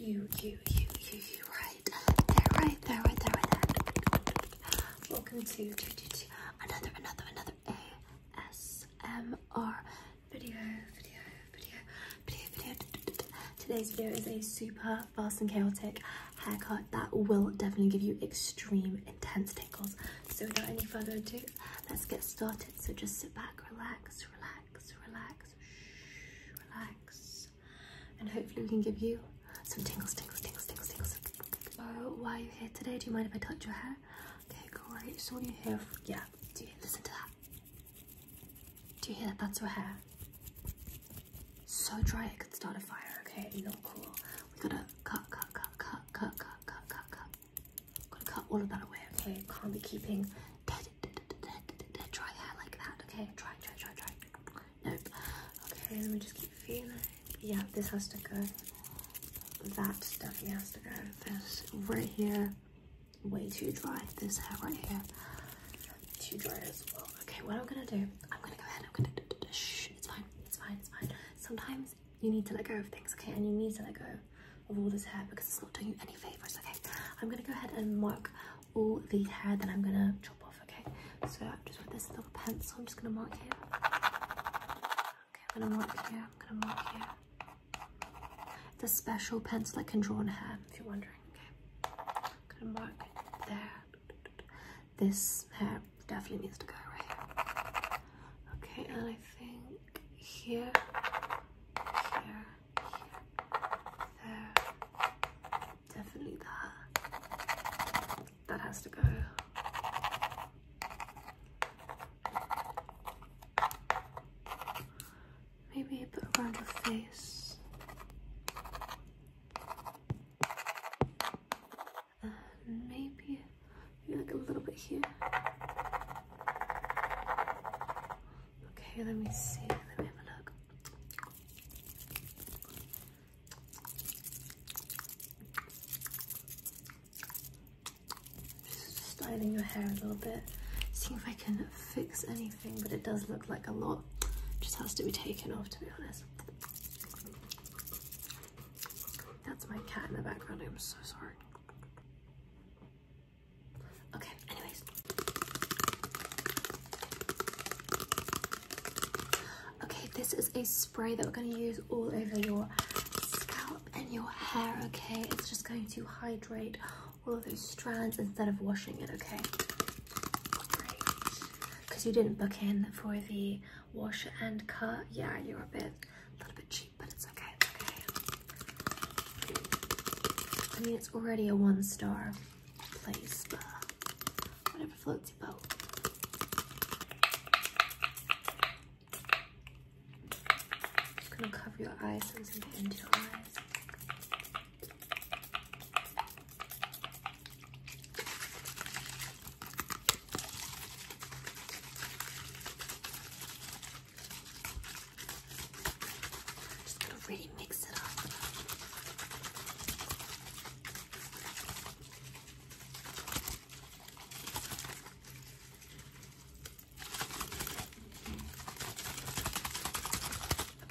You, you, you, you, you, right there, right there, right there, Welcome to, another, another, another ASMR video, video, video, video, video. Today's video is a super fast and chaotic haircut that will definitely give you extreme intense tingles. So without any further ado, Let's get started. So just sit back, relax, relax, relax, shh, relax. And hopefully we can give you some tingles, tingles, tingles, tingles, tingles. Oh, why are you here today? Do you mind if I touch your hair? Okay, great. So what do you hear? Yeah, do you listen to that? Do you hear that? That's your hair. So dry it could start a fire, okay? Not cool. We gotta cut, cut, cut, cut, cut, cut, cut, cut, cut. I'm gonna cut all of that away, okay? Can't be keeping dead, dead, dead, dead dry hair like that, okay? Try, try, try, try. Nope. Okay, let me just keep feeling. Yeah, this has to go. That definitely has to go. This right here, way too dry. This hair right here, too dry as well. Okay, what I'm gonna do, I'm gonna go ahead, I'm gonna, shh, it's fine, it's fine, it's fine. Sometimes you need to let go of things, okay? And you need to let go of all this hair because it's not doing you any favors, okay? I'm gonna go ahead and mark all the hair that I'm gonna chop off, okay? So i just with this little pencil, I'm just gonna mark here. Okay, I'm gonna mark here, I'm gonna mark here. The special pencil that can draw on hair, if you're wondering, okay? gonna mark there. This hair definitely needs to go right here. Okay, and I think here, here, there, definitely that. That has to go. Maybe a bit around your face. Uh, maybe, maybe like a little bit here. Okay, let me see. Let me have a look. styling your hair a little bit. See if I can fix anything, but it does look like a lot just has to be taken off to be honest. That's my cat in the background. I'm so sorry. Okay, anyways. Okay, this is a spray that we're going to use all over your scalp and your hair, okay? It's just going to hydrate all of those strands instead of washing it, okay? Great. Because you didn't book in for the wash and cut. Yeah, you're a bit, a little bit cheap, but it's okay, it's okay. I mean, it's already a one-star place, but whatever floats your boat. Just gonna cover your eyes so get into your eyes just gonna really mix it up.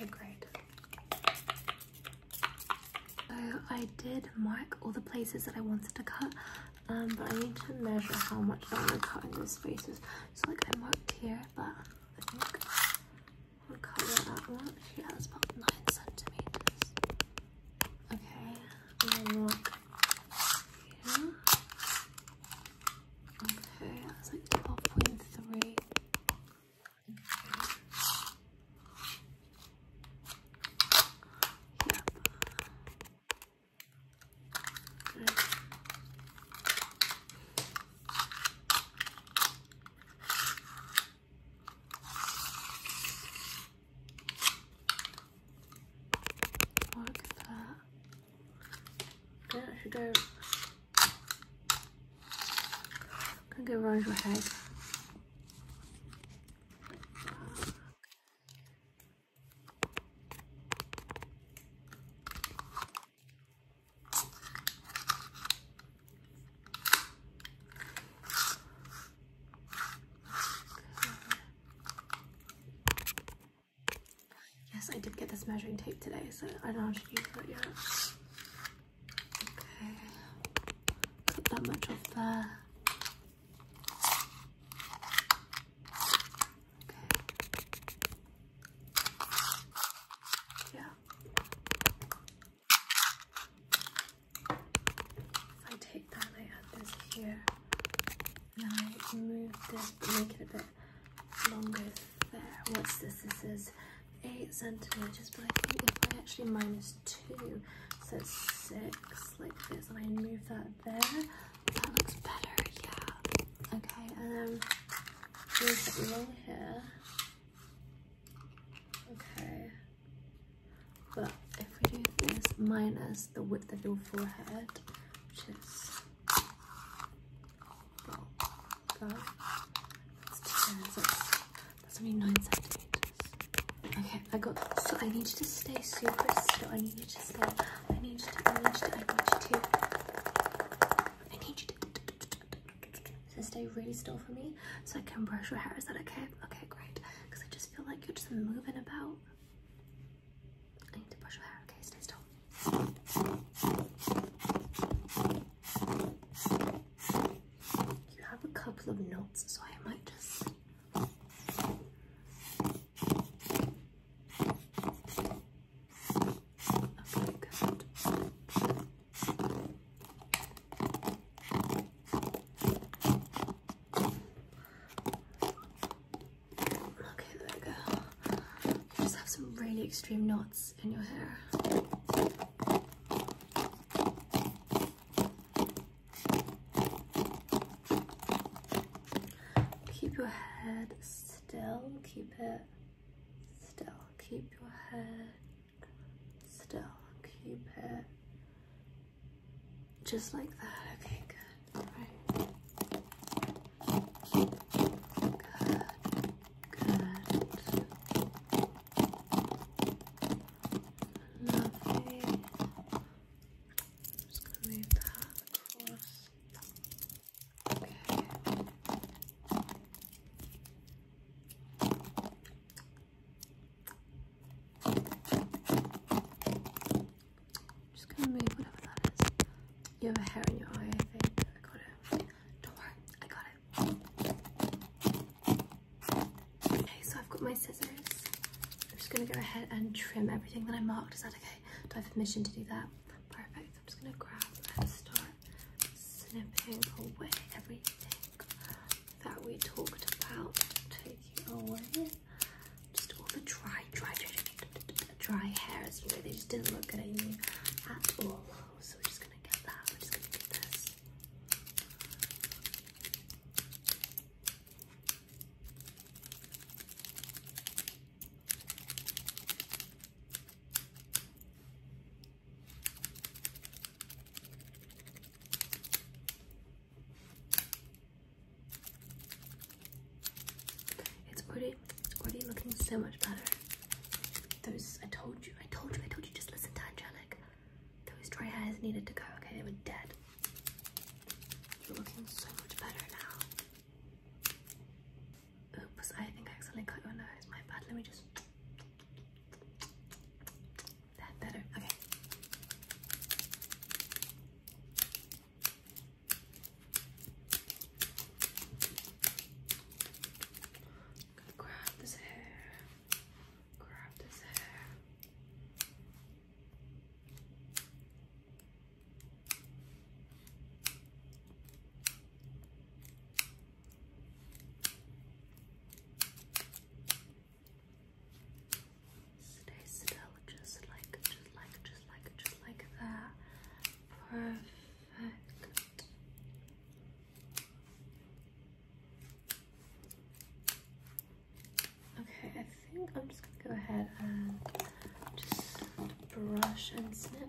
Okay, great. So I did mark all the places that I wanted to cut, um, but I need to measure how much I want to cut in those spaces. So like I marked here, but I think I'll cover that much. that's about nine centimeters. Okay, Okay, that's like 12.3. Yep. Look at that. That should go. Can go around your head. Yes, I did get this measuring tape today, so I don't know how to use it yet. Okay. Cut that much off there. Okay. Yeah. If I take that I add this here, and I move this make it a bit longer there. What's this? This is 8 centimeters, but I think if I actually minus minus 2. So 6 like this. And I move that there. That looks better, yeah. Okay, and um, then move it here. Okay. But if we do this minus the width of your forehead, which is about that's, 10, so that's only 9 centimeters. Okay, I got So I need you to stay super still. I need you to stay. I need you to, I need you to, I need you to. to, stay really still for me so I can brush your hair. Is that okay? Okay, great. Because I just feel like you're just moving about. I need to brush your hair. Okay, stay still. You have a couple of notes, so I might just. Okay, there we go. You just have some really extreme knots in your hair. Keep your head still, keep it still, keep your head still, keep it just like that. Okay, good. All right. Good. Good. Lovely. just going to move that across. Okay. just going to move whatever that is. You have a hair in your eye, I think. I got it. Don't worry, I got it. Okay, so I've got my scissors. I'm just gonna go ahead and trim everything that I marked. Is that okay? Do I have permission to do that? Perfect. I'm just gonna grab and start snipping away everything that we talked about. Taking away just all the dry, dry, dry, dry hairs. You know, they just didn't look good at at all. So we're just gonna get that. We're just gonna get this. It's already already looking so much better. I told you, I told you, I told you just listen to Angelic. Those dry hairs needed to go, okay? They were dead. You're looking so much better now. Oops, I think I accidentally cut your nose. My bad. Let me just. That better. Okay. grab this hair grab this hair. Stay still, just like, just like, just like, just like that. Perfect. Okay, I think I'm just gonna go ahead and just brush and snip.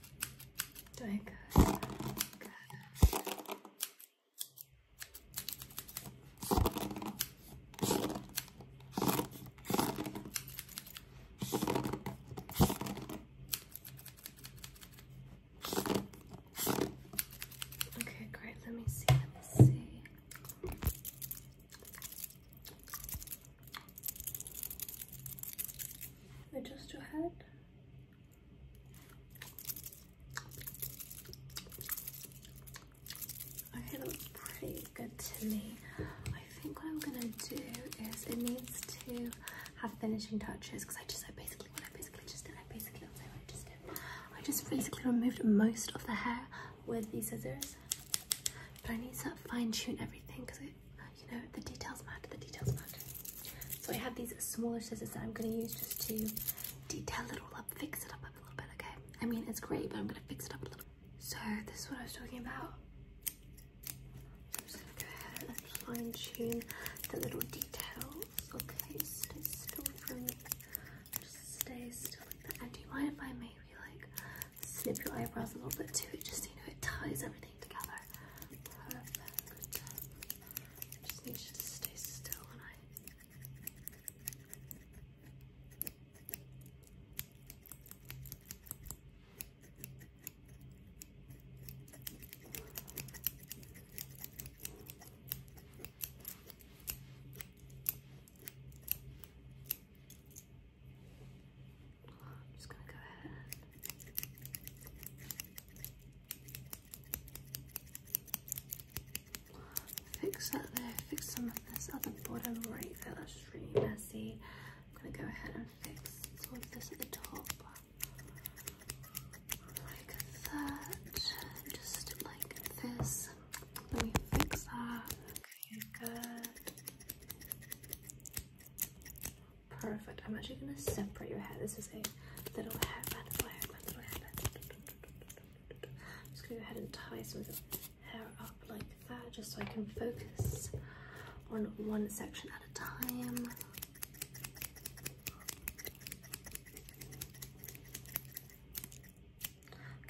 Doing good. good. Okay, great. Let me see. Let me see. Adjust your head. Okay, looks pretty good to me. I think what I'm gonna do is it needs to have finishing touches because I just I basically what I basically just did I basically what just did I just basically removed most of the hair with these scissors, but I need to fine tune everything because I you know, the details matter, the details matter. So I have these smaller scissors that I'm going to use just to detail it all up, fix it up a little bit, okay? I mean, it's great, but I'm going to fix it up a little So this is what I was talking about. I'm just going to go ahead and fine tune the little details, okay? Stay still for me. Just stay still And do you mind if I maybe like snip your eyebrows a little bit too, just so you know it ties everything? together. Perfect. I just need you to stay still when I fix that there, fix some of this at the bottom right there, that's really messy. I'm gonna go ahead and fix all of this at the top. Like that, just like this. Let me fix that. good. Perfect. I'm actually gonna separate your hair. This is a little hairband, I'm just gonna go ahead and tie some of the hair up like that, just so I can focus on one section at a time.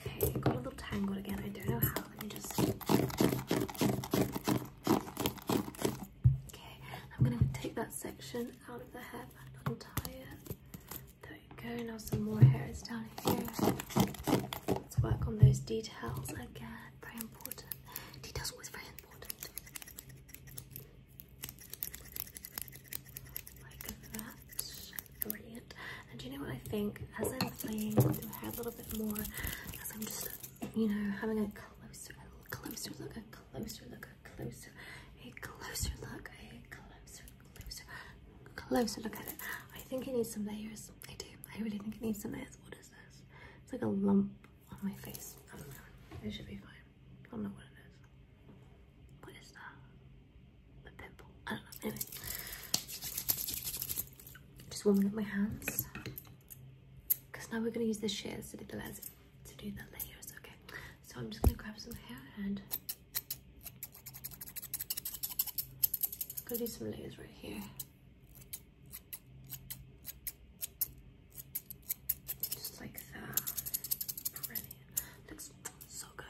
Okay, got a little tangled again. I don't know how. Let me just. Okay, I'm gonna take that section out of the hair. I'm untie it. There we go, now some more hair is down here. Let's work on those details again, very important. Details always very important. Like that, brilliant. And do you know what I think? As I'm playing with your hair a little bit more, as I'm just you know, having a closer, a closer look, a closer look, a closer, a closer look, a closer, closer, closer look at it. I think it needs some layers. I do. I really think it needs some layers. What is this? It's like a lump on my face. I don't know. It should be fine. I don't know what it is. What is that? A pimple. I don't know. Anyway. Just warming up my hands because now we're going to use the shears to do the layers to do the layers okay so i'm just going to grab some hair and i going to do some layers right here just like that brilliant looks so good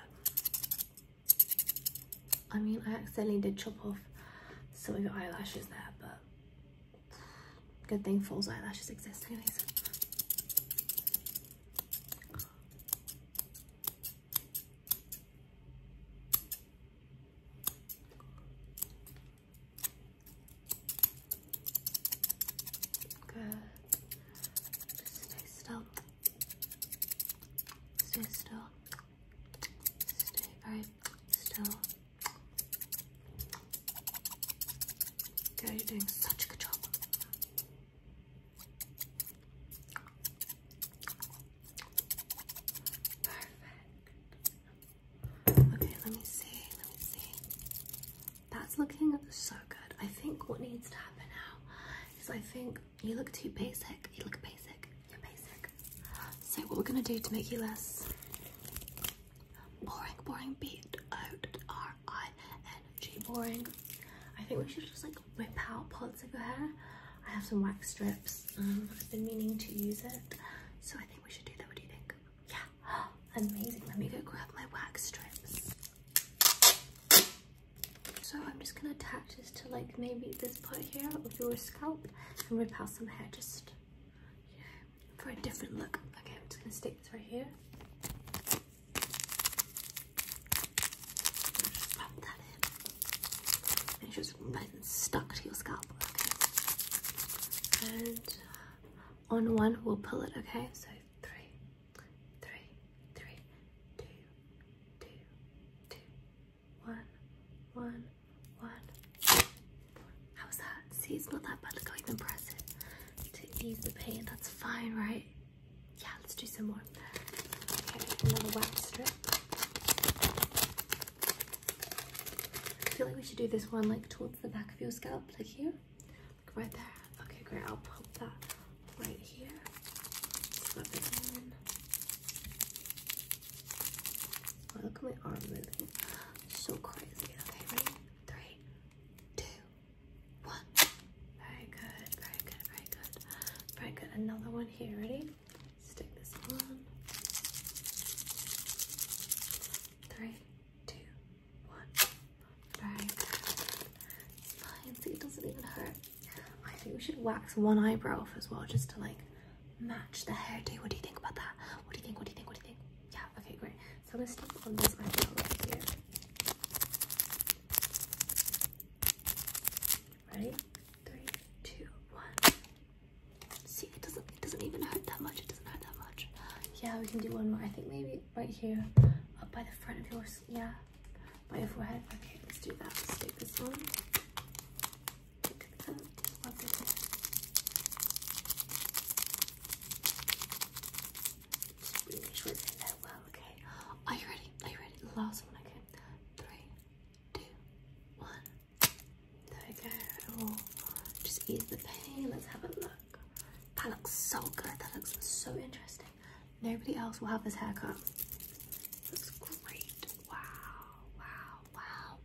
i mean i accidentally did chop off some of your eyelashes there but Good thing false eyelashes exist, anyways. Good. Stay still. Stay still. Stay very still. Girl, you're doing such a good job. Perfect. Okay, let me see. Let me see. That's looking so good. I think what needs to happen now is I think you look too basic. You look basic. You're basic. So what we're gonna do to make you less boring, boring, B O R I N G, boring. I think we should just like whip out parts of your hair. I have some wax strips. Um, I've been meaning to use it, so I think we should do that. What do you think? Yeah, amazing. Let me go grab my wax strips. So I'm just gonna attach this to like maybe this part here of your scalp and rip out some hair just for a different look. Okay, I'm just gonna stick this right here. Just that in. And it's nice and stuck to your scalp. Okay. And on one we'll pull it, okay? So three, three, three, two, two, two, one, one, one. How was that? See, it's not that bad. Look go I even press it to ease the pain. That's fine, right? Yeah, let's do some more. Okay, another wax strip. I feel like we should do this one like towards the back of your scalp, like here, like right there. Okay, great. I'll pop that right here. Oh, look at my arm moving. So crazy. Okay, ready? Three, two, one. Very good, very good, very good. Very good. Another one here. Ready? Stick this on. Three, two, one. Very good. It's fine. See, it doesn't even hurt. I think we should wax one eyebrow off as well, just to like match the hairdo. What do you think about that? What do you think? What do you think? What do you think? Yeah, okay, great. So I'm gonna take on this eyebrow right here. Ready? Three, two, one. See, it doesn't it doesn't even hurt that much. It doesn't hurt that much. Yeah, we can do one more. I think maybe right here, up by the front of yours. Yeah, by your forehead. Okay, let's do that. Let's take this one. Love this one. Just really short in that well, okay? Are you ready? Are you ready? The last one, okay? Three, two, one. There we go. Oh, just ease the pain. Let's have a look. That looks so good. That looks so interesting. Nobody else will have this haircut. Looks great. Wow, wow,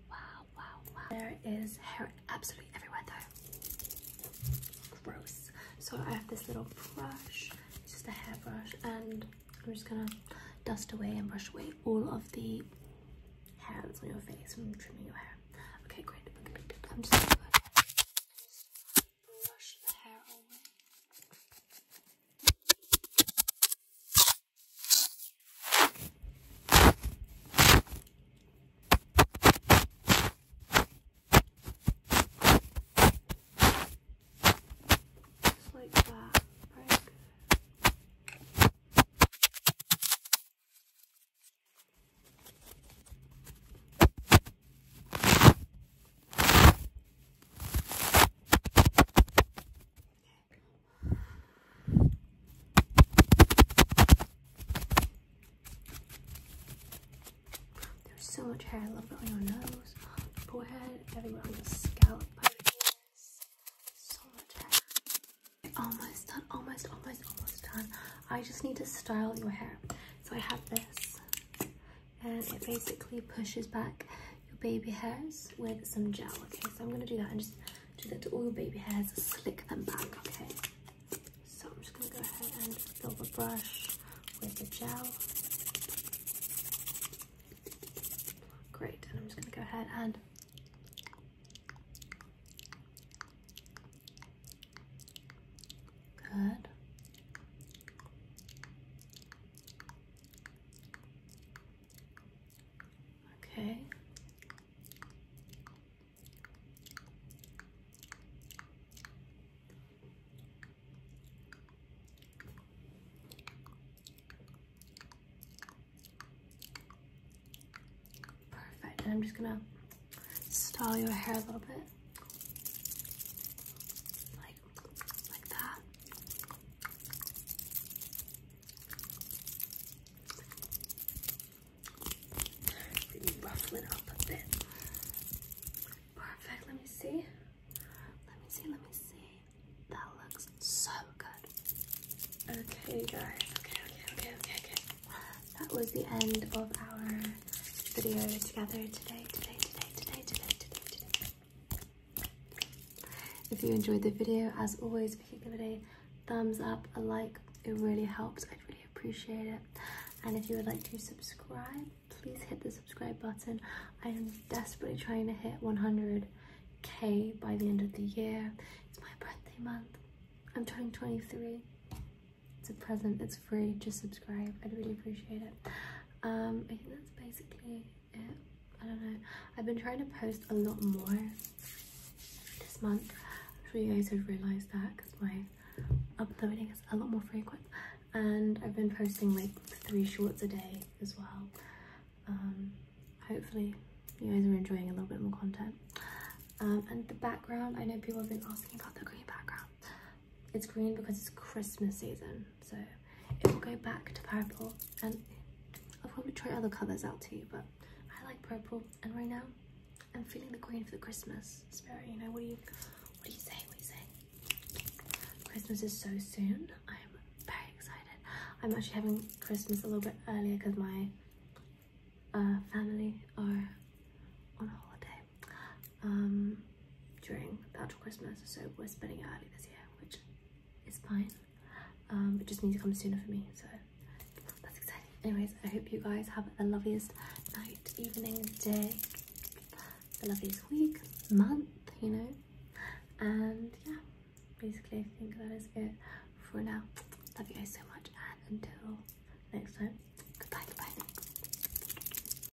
wow, wow, wow, There is hair absolutely everywhere though. Gross. So I have this little brush, it's just a hairbrush, and I'm just gonna dust away and brush away all of the hairs on your face from trimming your hair. Okay, great. I'm just gonna brush the hair away. Just like that. Very good. There's so much hair. I love it on your nose, forehead, everywhere on your scalp. So much hair. Almost done. Almost, almost, almost done. I just need to style your hair. So I have this and um, it basically pushes back your baby hairs with some gel. Okay, so I'm gonna do that and just do that to all your baby hairs, slick them back, okay? So I'm just gonna go ahead and fill the brush with the gel. Great, and I'm just gonna go ahead and Good. Okay. Perfect. And I'm just going to style your hair a little bit right, like that. Let me ruffle it up a bit. Perfect. Let me see. Let me see. Let me see. That looks so good. Okay, guys. Okay, okay, okay, okay, okay. That was the end of our video together today, today, today, today, today, today, today. If you enjoyed the video, as always, if you give it a thumbs up, a like, it really helps. I'd really appreciate it. And if you would like to subscribe, please hit the subscribe button. I am desperately trying to hit 100k by the end of the year. It's my birthday month. I'm turning 23. It's a present, it's free, just subscribe. I'd really appreciate it um i think that's basically it i don't know i've been trying to post a lot more this month i'm sure you guys have realized that because my uploading is a lot more frequent and i've been posting like three shorts a day as well um hopefully you guys are enjoying a little bit more content um and the background i know people have been asking about the green background it's green because it's Christmas season, so it will go back to purple. And I'll probably try other colours out too, but I like purple. And right now, I'm feeling the green for the Christmas spirit. You know, what do you, what do you say? What do you say? Christmas is so soon. I'm very excited. I'm actually having Christmas a little bit earlier because my uh, family are on holiday um, during that Christmas. So we're spending it early this year, which is fine. Um, it just needs to come sooner for me. So that's exciting. Anyways, I hope you guys have the loveliest night, evening, day, the loveliest week, month, you know. And yeah, basically I think that is it for now. Love you guys so much and until next time, goodbye, goodbye.